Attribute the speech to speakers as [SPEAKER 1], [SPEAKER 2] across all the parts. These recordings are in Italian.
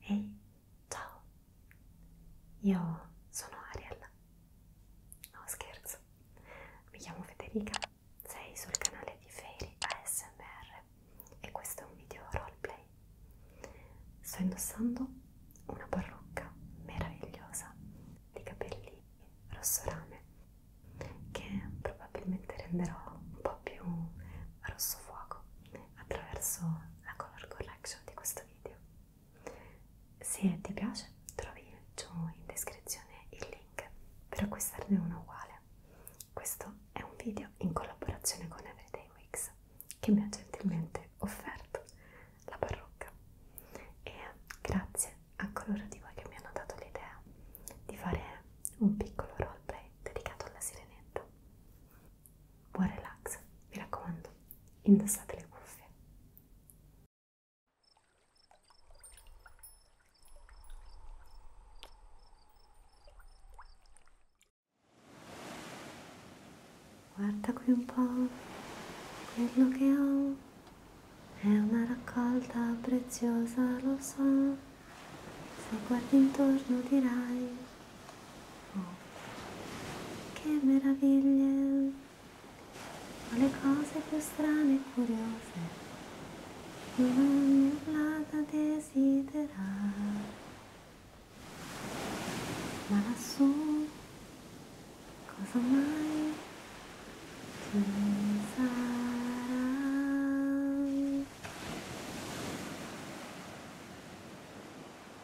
[SPEAKER 1] Ehi, hey, ciao, io sono Ariel, no scherzo, mi chiamo Federica, sei sul canale di Fairy ASMR e questo è un video roleplay. Sto indossando una parrucca meravigliosa di capelli rosso rame che probabilmente renderò un po' più rosso fuoco attraverso la color correction di questo video. Se ti piace trovi giù in descrizione il link per acquistarne uno uguale. Questo è un video in collaborazione con Everyday Wix che mi ha gentilmente offerto la parrucca e grazie a coloro di voi che mi hanno dato l'idea di fare un piccolo roleplay dedicato alla sirenetta. Buon relax, mi raccomando, indossate le cuffie. Guarda qui un po' quello che ho, è una raccolta preziosa, lo so, se guardi intorno dirai Oh. Che meraviglie! Ho le cose più strane e curiose, non mi plata desiderare. Ma lassù, cosa mai ci sarà?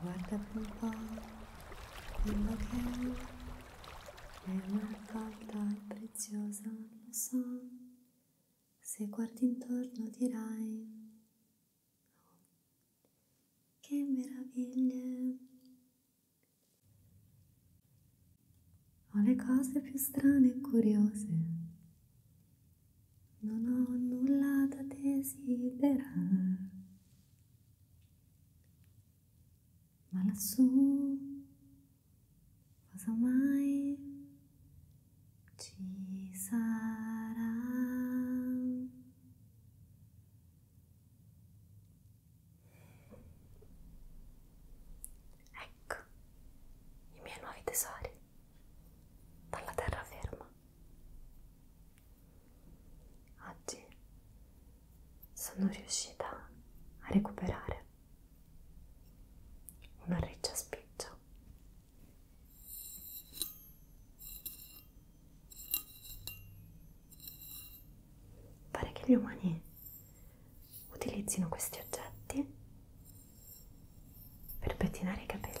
[SPEAKER 1] guarda un po' quello che è, è una raccolta preziosa, lo so, se guardi intorno dirai oh, che meraviglie! Ho le cose più strane e curiose, non ho nulla da desiderare. Mala sul, mai ci sarà. Ecco i miei nuovi tesori tá dalla terra ferma. Oggi sono riuscita a recuperare una riccia spiccia. Pare che gli umani utilizzino questi oggetti per pettinare i capelli.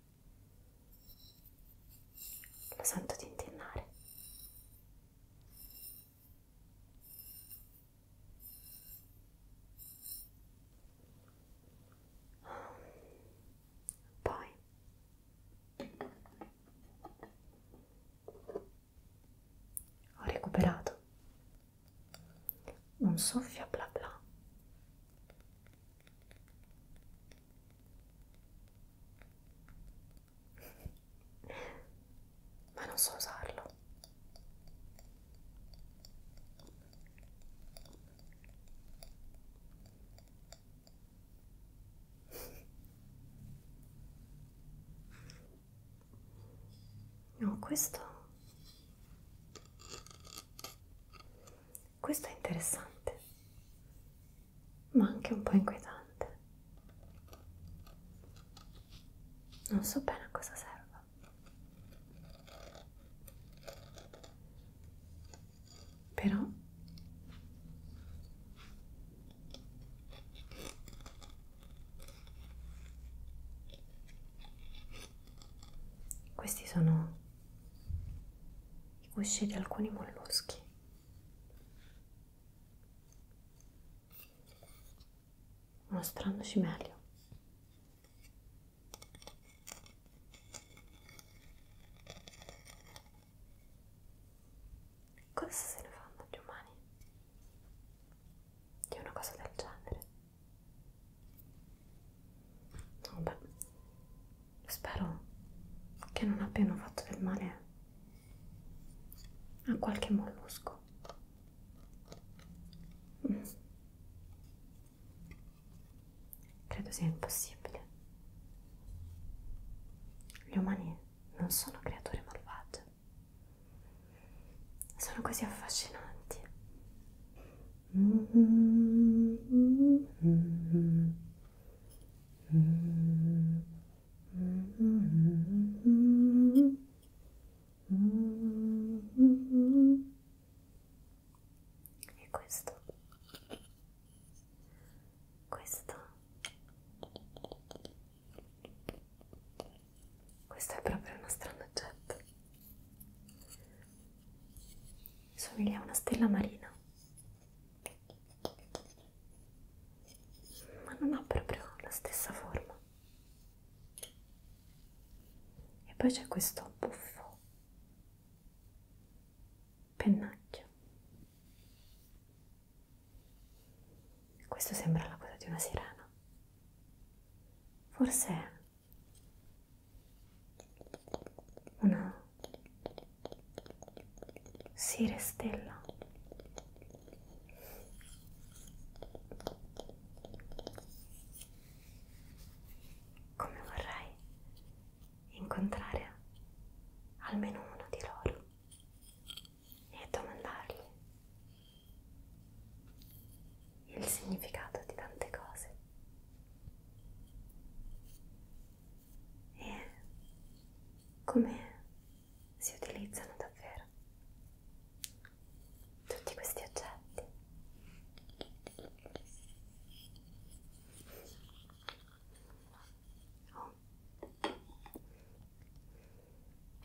[SPEAKER 1] Lo sento tintinnare. Poi ho recuperato un soffio bla bla ma non so usarlo no questo questo è interessante, ma anche un po' inquietante. Non so bene a cosa serva. Però questi sono i gusci di alcuni molluschi mostrandoci meglio. Cosa se ne fanno gli umani di una cosa del genere? Vabbè, Spero che non abbiano fatto del male a qualche mollusco. Mm. Credo sia impossibile. Gli umani non sono creature malvagie. Sono così affascinanti. Mm -hmm. Mm -hmm e questo questo questo è proprio uno strano oggetto somiglia a una stella marina ma non ha proprio la stessa forma e poi c'è questo buffo pennacchio questo sembra la coda di una sirena forse una sire stella come vorrei incontrare almeno uno di loro e domandargli il significato di tante cose e come si utilizzano davvero tutti questi oggetti. Oh.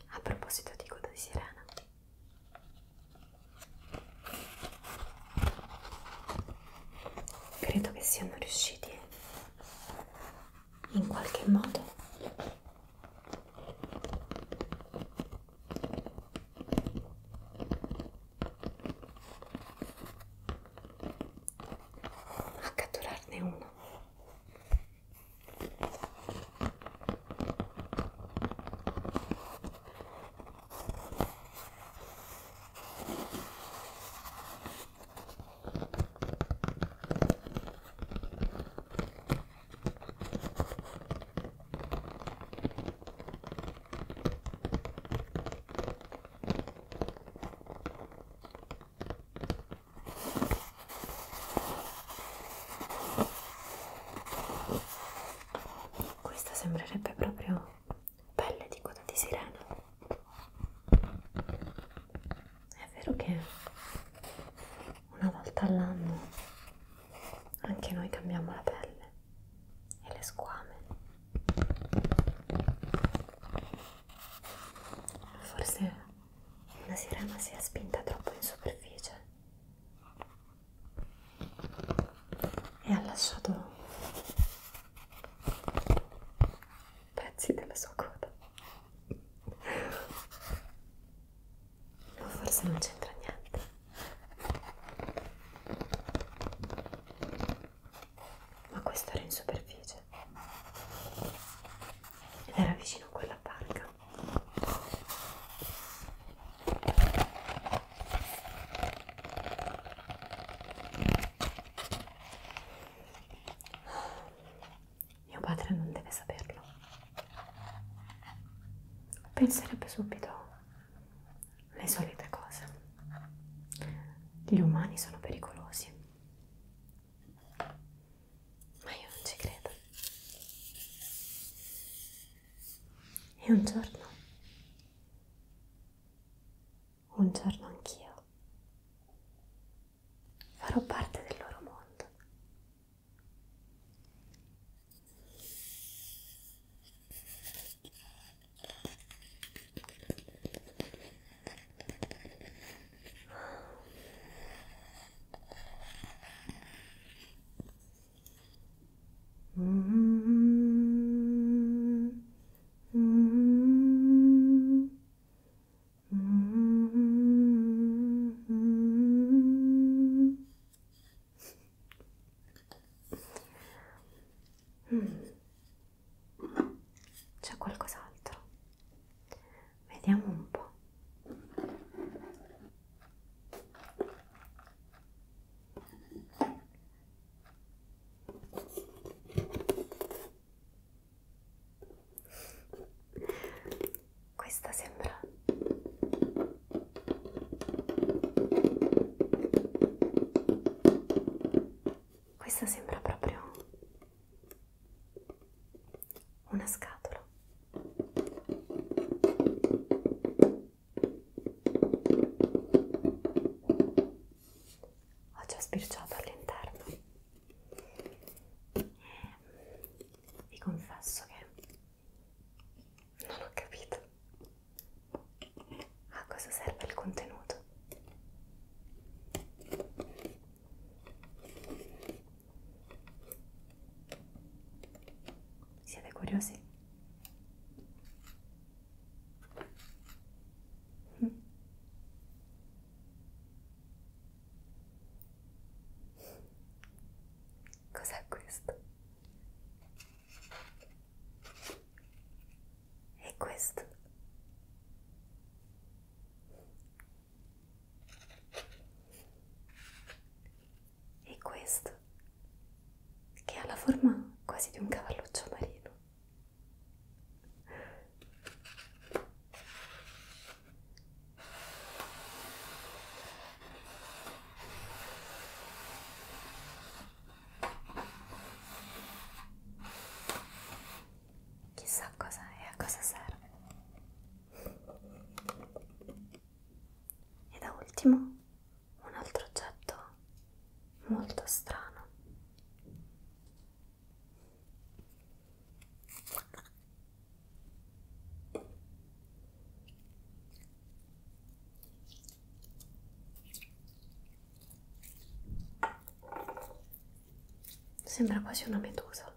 [SPEAKER 1] A proposito di coda di sirena, credo che siano riusciti in qualche modo a catturarne uno questa sembrerebbe proprio pelle di coda di sirena è vero che una volta all'anno anche noi cambiamo la pelle e le squame forse una sirena si è spinta troppo in superficie e ha lasciato pezzi della sua coda ma forse non c'entra niente ma questo era in superficie ed era vicino a quella barca mio padre non deve saperlo. Penserebbe subito le solite cose. Gli umani sono pericolosi. Ma io non ci credo. E un giorno un giorno anch'io farò parte del loro mondo. Mm -hmm. Mm -hmm. Mm -hmm. Mm. C'è qualcos'altro? Vediamo un po'. Questa sembra Questa sembra proprio una scatola ho già sbirciato all'interno e ehm, vi confesso che non ho capito a cosa serve il contenuto siete curiosi? Mm. Cos'è questo? E questo? E questo? Che ha la forma quasi di un cavalluccio marino. Chissà cosa è, a cosa serve. E da ultimo un altro oggetto molto strano Sembra quasi una medusa.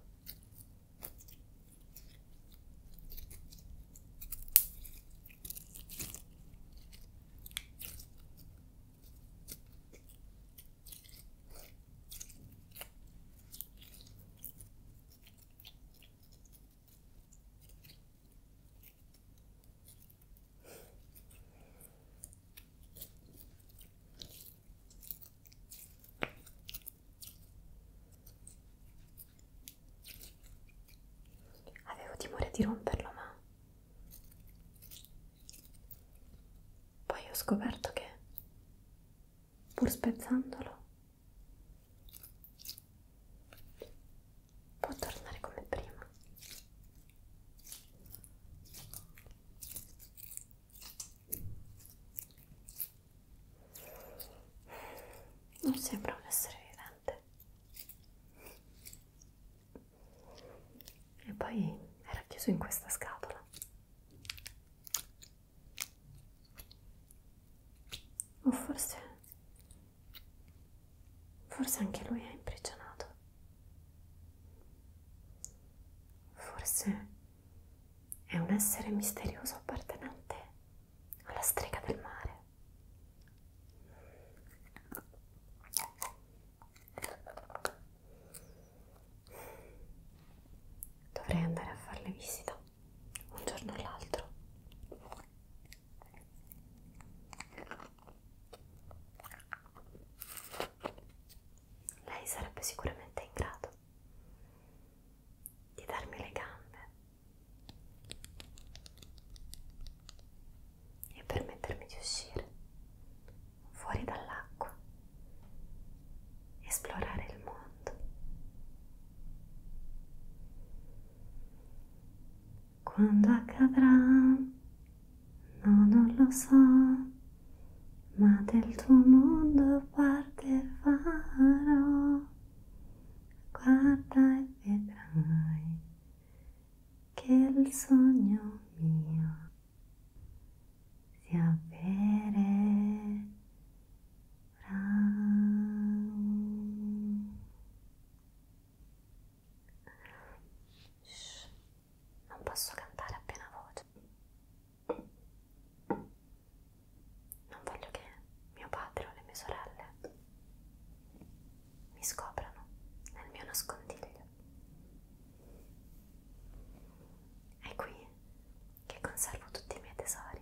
[SPEAKER 1] Avevo timore di romperlo, ma poi ho scoperto che, pur spezzandolo, può tornare come prima. Non sembra un essere vivente e poi era chiuso in questa scatola. O forse, forse anche lui è imprigionato. Forse è un essere misterioso appartenente alla strega del mare. Dovrei andare a farle visita un giorno o l'altro. Lei sarebbe sicuramente in grado di darmi le gambe e permettermi di uscire fuori dall'acqua, esplorare il mondo. Quando accadrà, no, non lo so, ma del tuo mondo parte farò. Guarda e vedrai che il sogno mio Sapere Brown. Shh, non posso cantare appena voce. Non voglio che mio padre o le mie sorelle mi scoprano nel mio nascondiglio. È qui che conservo tutti i miei tesori.